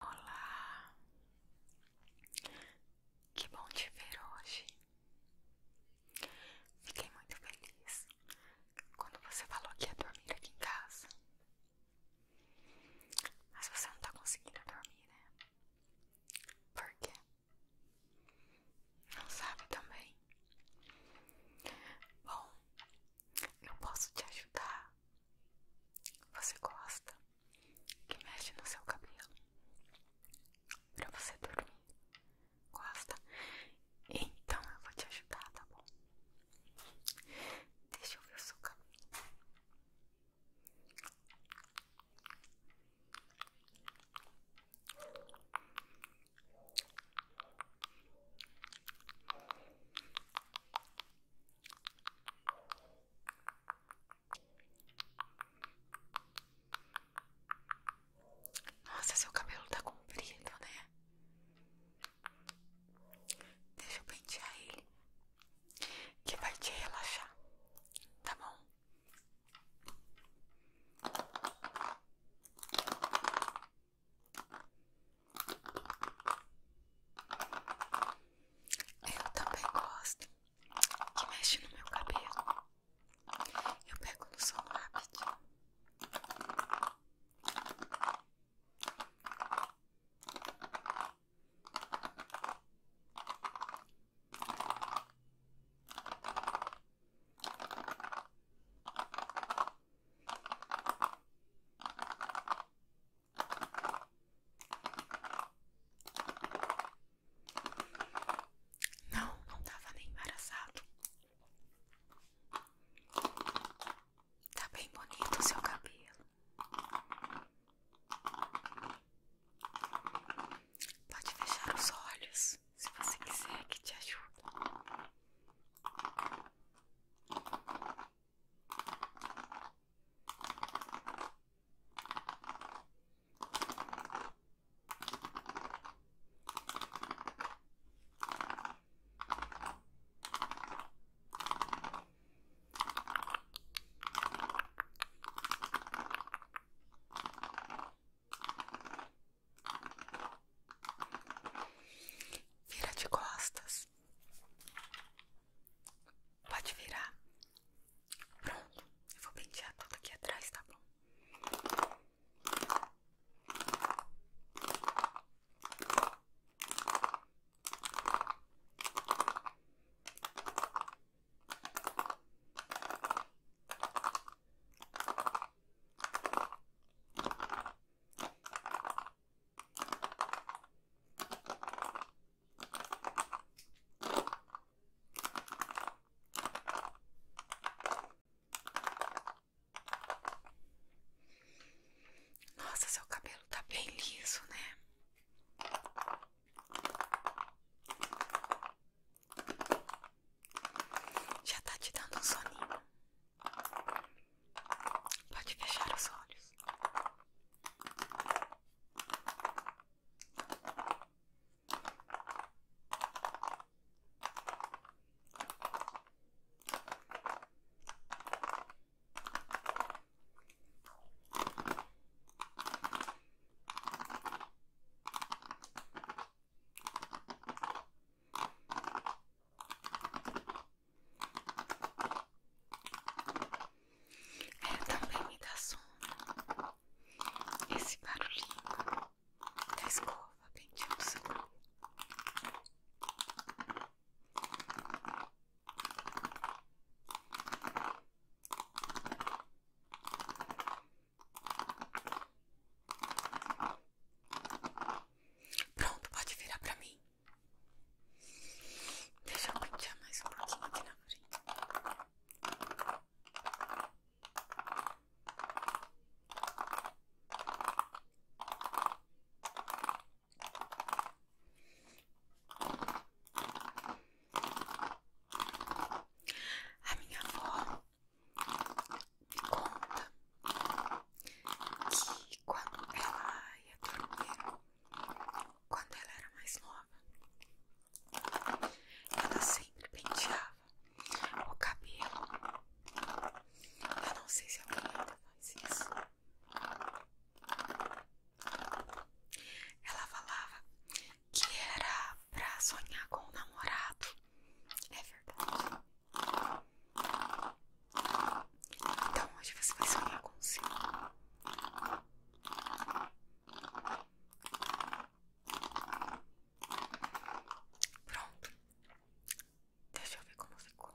Olá, que bom te ver hoje. Fiquei muito feliz quando você falou que ia dormir aqui em casa. Mas você não tá conseguindo dormir, né? Por quê? Não sabe também? Bom, eu posso te ajudar você gosta que mexe no seu cabelo pra você dormir. Gosta? Então eu vou te ajudar, tá bom? Deixa eu ver o seu cabelo. Nossa, seu cabelo tá comprido, né? Deixa eu pentear ele, que vai te relaxar, tá bom? Eu também gosto que mexe no meu cabelo. Eu pego no som rápido. Não, não estava nem embaraçado. Está bem bonito o seu cabelo. Pode fechar os olhos se você quiser que te ajude. Vira de costas. Pode virar. Pronto. Eu vou pentear tudo aqui atrás, tá bom? Nossa, seu cabelo tá bem liso, né? Já tá te dando soninho. Pode fechar os olhos. É, também me dá sono esse barulhinho da escova pendida do seu Pronto, pode virar pra mim. Deixa eu pentear mais um pouquinho aqui na A minha avó, conta que quando ela ia dormir, quando ela era mais nova, ela sempre penteava o cabelo. Eu não sei se alguém ainda faz isso. Ela falava que era pra sonhar com o namorado. É verdade. Então hoje você vai sonhar com o Pronto. Deixa eu ver como ficou.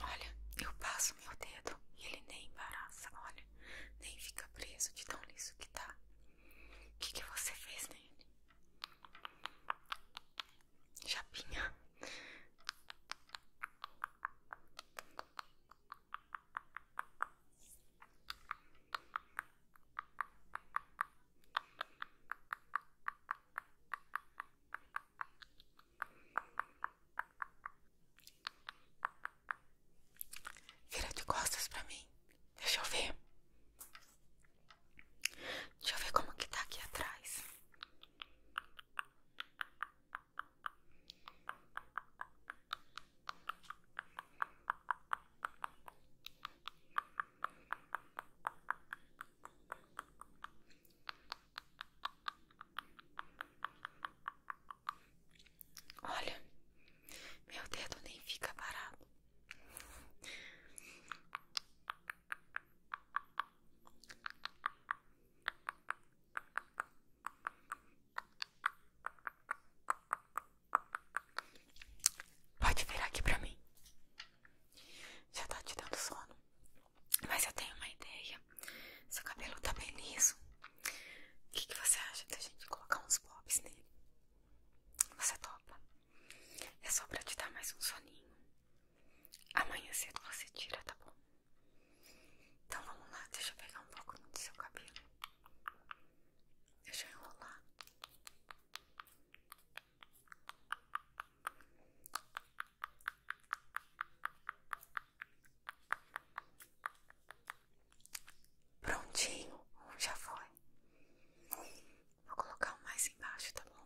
Olha, eu passo meu dedo e ele nem embaraça, olha, nem fica preso de tão liso que tá. O que, você fez nele? Japinha. Vira de costas para mim. Deixa eu ver. Deixa eu ver como que tá aqui atrás. Olha, meu dedo nem fica parado. Pode virar aqui pra mim. Já tá te dando sono. Mas eu tenho uma ideia. Seu cabelo tá bem liso. O que, que você acha da gente colocar uns bobs nele? Você topa? É só pra te dar mais um soninho. Amanhã cedo você tira, tá bom? Então vamos lá, deixa eu pegar um pouco do seu cabelo. Deixa eu enrolar. Prontinho, já foi. Vou colocar um mais embaixo, tá bom?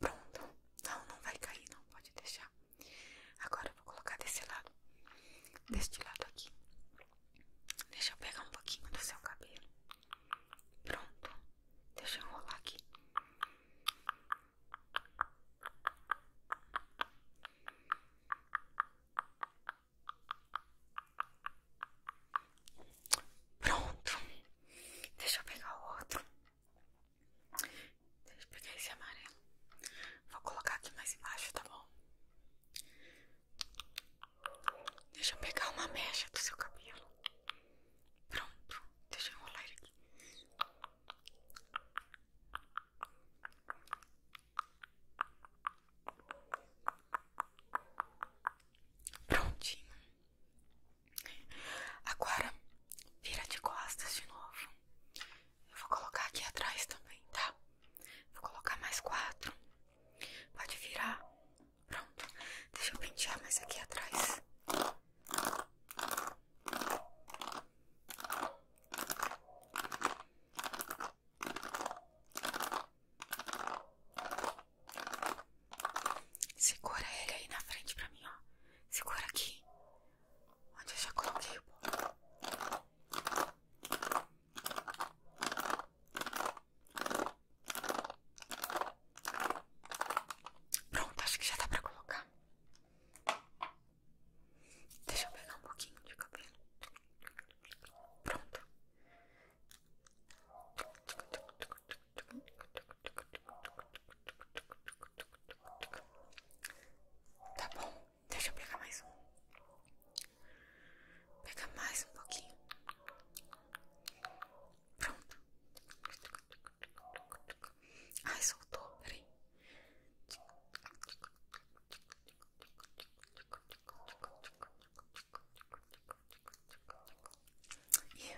Pronto, não, não vai cair, não pode deixar. Agora eu vou colocar desse lado, deste lado aqui. Deixa eu pegar um pouquinho do seu cabelo. Pronto, deixa eu enrolar aqui. Pronto. Deixa eu pegar o outro. Deixa eu pegar esse amarelo. Vou colocar aqui mais embaixo, tá bom? Deixa eu pegar uma mecha do seu cabelo. Pronto. Deixa eu enrolar ele aqui. Prontinho. Agora, vira de costas de novo. Eu vou colocar aqui atrás também, tá? Vou colocar mais quatro. Pode virar. Pronto. Deixa eu pentear mais aqui atrás. Segura ele aí na frente pra mim, ó. Segura aqui. Onde eu já coloquei Pronto, acho que já dá pra colocar. Deixa eu pegar um pouquinho de cabelo. Pronto. Tá bom, deixa eu pegar mais um. Pega mais um pouquinho. Pronto. Ai, soltou, peraí.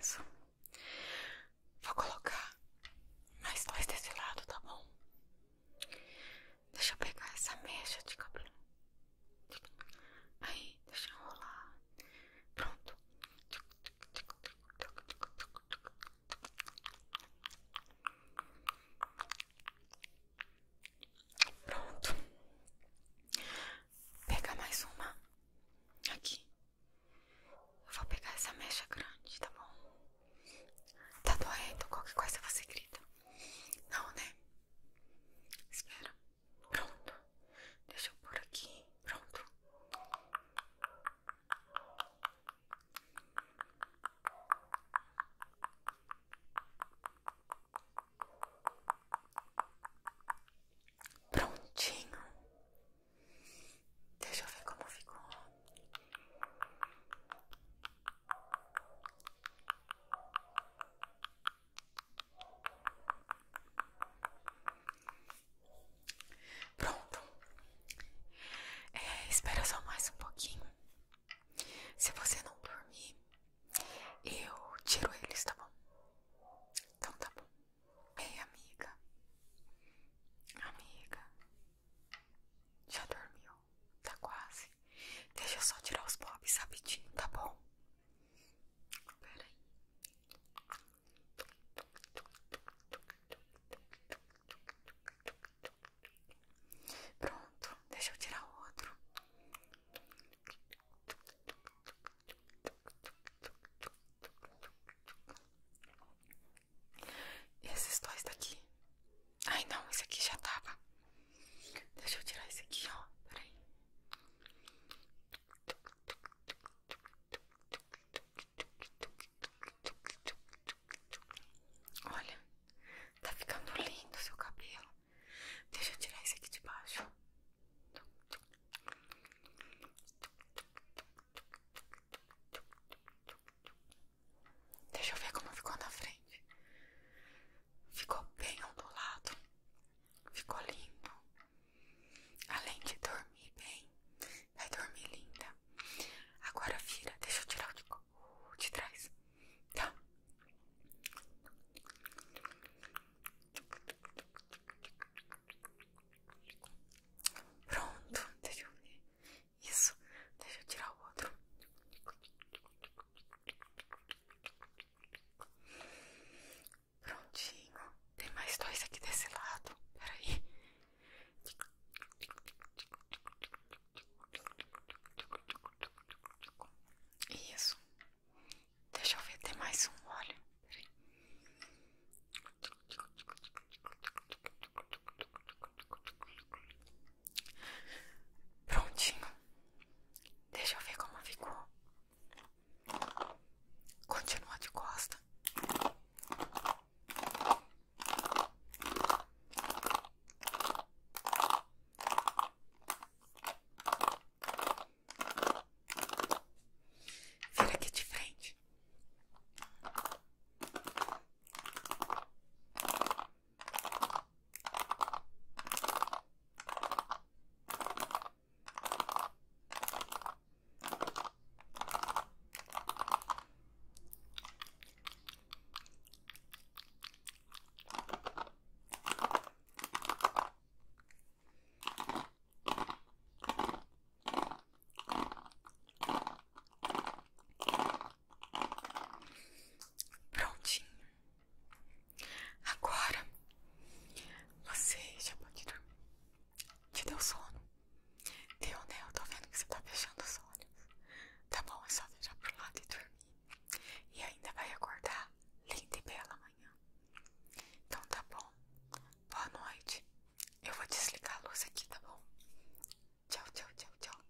Isso. Vou colocar mais dois desse lado, tá bom? Deixa eu pegar essa mecha de cabelo. Aí, deixa eu rolar. Pronto. Pronto. Pega mais uma aqui. Eu vou pegar essa mecha grande, tá bom? Tá doendo? Qualquer coisa você grita. Não, né? Espera. Pronto. Deixa eu por aqui. Pronto. Prontinho. Deixa eu ver como ficou. Pronto. É, espera só mais um pouquinho se você não dormir, eu tiro eles, tá bom? Então tá bom. Ei, amiga. Amiga. Já dormiu? Tá quase. Deixa eu só tirar os bobs rapidinho, tá bom? Peraí. Pronto, deixa eu tirar o outro. E esses dois daqui? Ai não, esse aqui já tava. Deixa eu tirar esse aqui, ó. Peraí. Olha, tá ficando lindo o seu cabelo. Deixa eu tirar esse aqui de baixo. Deixa eu ver como ficou na frente. Ficou bem ondulado. Ficou lindo. Além de dormir bem, vai dormir linda. Agora vira, deixa eu tirar o de, trás, tá? Pronto, deixa eu ver. Isso, deixa eu tirar o outro. Prontinho. Tem mais dois aqui desse lado. Peraí. Isso. Deixa eu ver, tem mais um, olha. Prontinho. Deixa eu ver como ficou. Continua de costa. Vira aqui de frente. Prontinho. Agora você já pode dormir. Te deu sono? Deu, né? Eu tô vendo que você tá fechando os olhos. Tá bom, é só virar pro lado e dormir. E ainda vai acordar linda e bela amanhã. Então tá bom. Boa noite. Eu vou desligar a luz aqui, tá bom? Tchau, tchau, tchau, tchau.